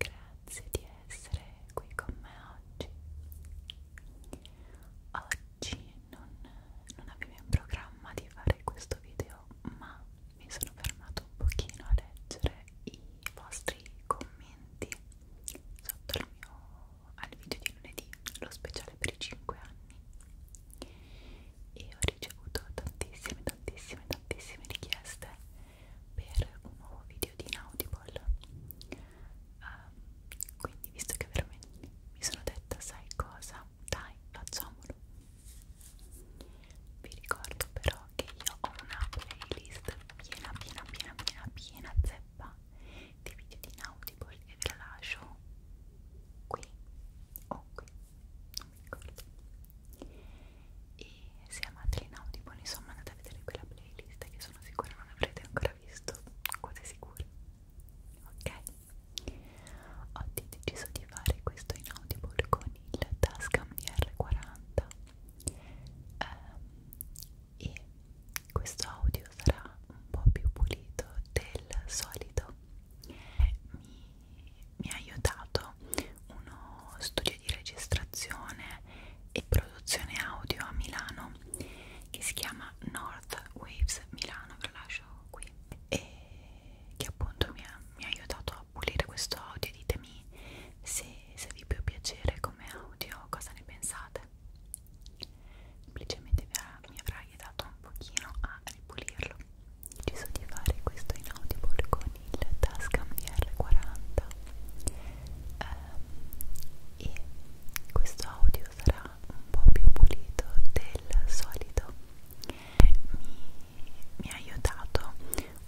Grazie di essere qui con me oggi. Oggi non, non avevo in programma di fare questo video, ma mi sono fermato un pochino a leggere i vostri commenti sotto al mio al video di lunedì, lo speciale per i 5 anni. E ho ricevuto tantissime, tantissime, tantissime richieste per un nuovo video di Inaudible um, quindi visto che veramente mi sono detta sai cosa? dai facciamolo vi ricordo però che io ho una playlist piena piena piena piena piena zeppa di video di Inaudible e ve la lascio qui o qui non mi ricordo e se amate l'inaudibone insomma andate a vedere quella playlist che sono sicura non avrete ancora visto quasi sicura ok oggi ho deciso di fare questo inaudible con il Tascam DR40 um, ehm, e questo audio sarà un po' più pulito del solito mi mi ha aiutato uno studio di registrazione e produzione audio a Milano che si chiama North Waves Milano, ve lo lascio qui e che appunto mi ha, mi ha aiutato a pulire questo audio ditemi se, se vi può piacere come audio, cosa ne pensate semplicemente mi avrà aiutato un pochino a ripulirlo ho deciso di fare questo in Audible con il Tascam DR40 eh, e questo audio sarà un po' più pulito del solito mi, mi ha aiutato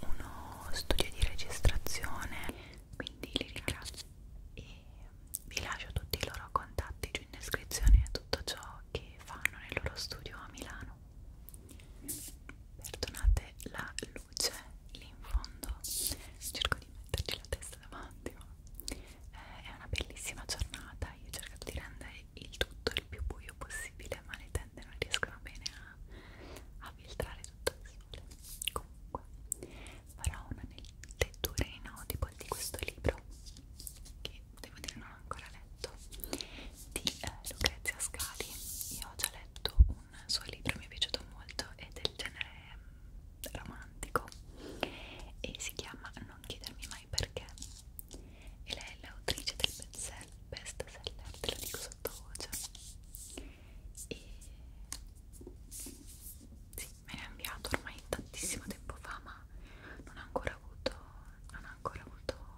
uno studio di registrazione quindi li ringrazio e vi lascio tutti i loro contatti giù in descrizione e tutto ciò che fanno nel loro studio a Milano piano perdonate la luce lì in fondo cerco di metterci la testa davanti ma eh, è una bellissima giornata io ho cercato di rendere il tutto il più buio possibile ma le tende non riescono bene a, a filtrare tutto il sole comunque farò una lettura in no, tipo di questo libro che devo dire non ho ancora letto di eh, Lucrezia Scali io ho già letto un suo libro mi è piaciuto molto è del genere mm, romantico e si chiama Non chiedermi mai perché e lei è l'autrice del bestseller te lo dico sottovoce e sì, me l'ha inviato ormai tantissimo tempo fa ma non ha ancora avuto non ha ancora avuto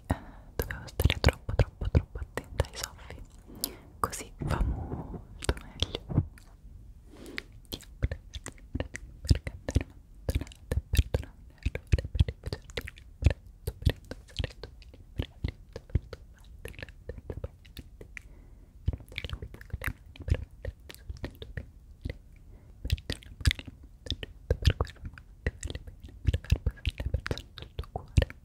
quindi eh, dovevo stare troppo troppo troppo attenta ai soffi così va molto meglio ti apre per cantare perdonate perdonate errore per rifugiarti presto presto sarete meglio presto presto senza bagnarti per mettere la pizza con le mani per mettere il tuo bene per quello che ti vale bene per far passare le persone sul tuo cuore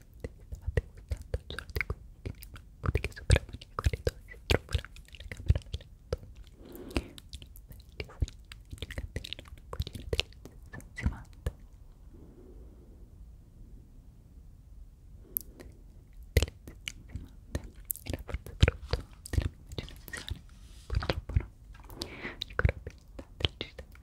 se vi stavate gustando il giorno di cui boutique suprema nei corridoi si trovano nella camera da letto una vecchia significativa una cucina delizia sanzionante delizia era forse frutto della mia immaginazione purtroppo no ricordo bene del cittadino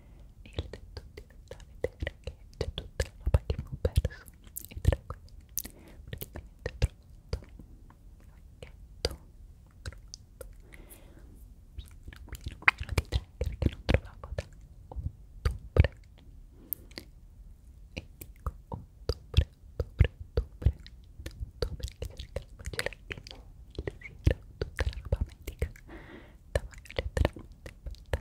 e il detto ti da vedere che c'è tutta la roba che mi ho perso e tra quelle praticamente ho trovato un pacchetto pieno pieno pieno di trigger che non trovavo da ottobre e dico ottobre ottobre ottobre ottobre che cercavo gelatini il siero tutta la roba medica davanti letteralmente fatta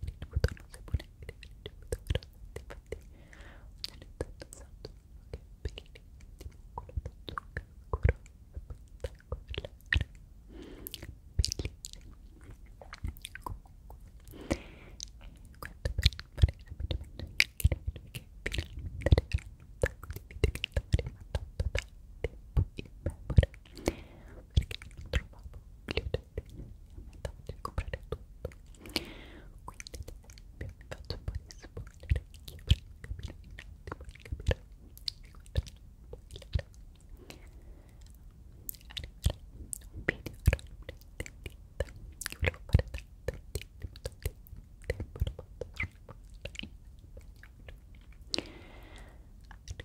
il bottone non si può neanche ricevuto grassetti infatti ogni tanto sento che peli di quello da zucca scuro spettacolare bellissimo comunque questo per il parere semplicemente che finalmente arriveranno un sacco di video che stavo rimandando da tempo in memoria perché non trovavo gli oggetti e andavo a comprare tutto quindi ad esempio vi faccio un po' di spoiler che per capire in attimo per capire vi guarderò un spoiler arriverà un video roleplay di ditta che volevo fare tantissimo tantissimo tempo lo posso fare in spagnolo arriverà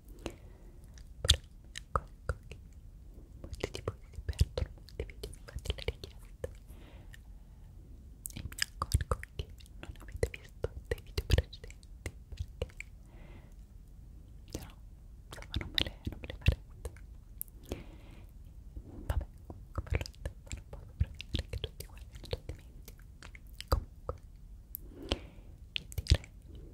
Però ecco, ecco molti di voi si perdono molti video, infatti le richieste e mi accorgo che non avete visto dei video precedenti perché se no, insomma, non me le, non me le farete vabbè, comunque per lo stesso non posso prevedere che tutti guardino tutti i miei comunque io direi che le chiacchiere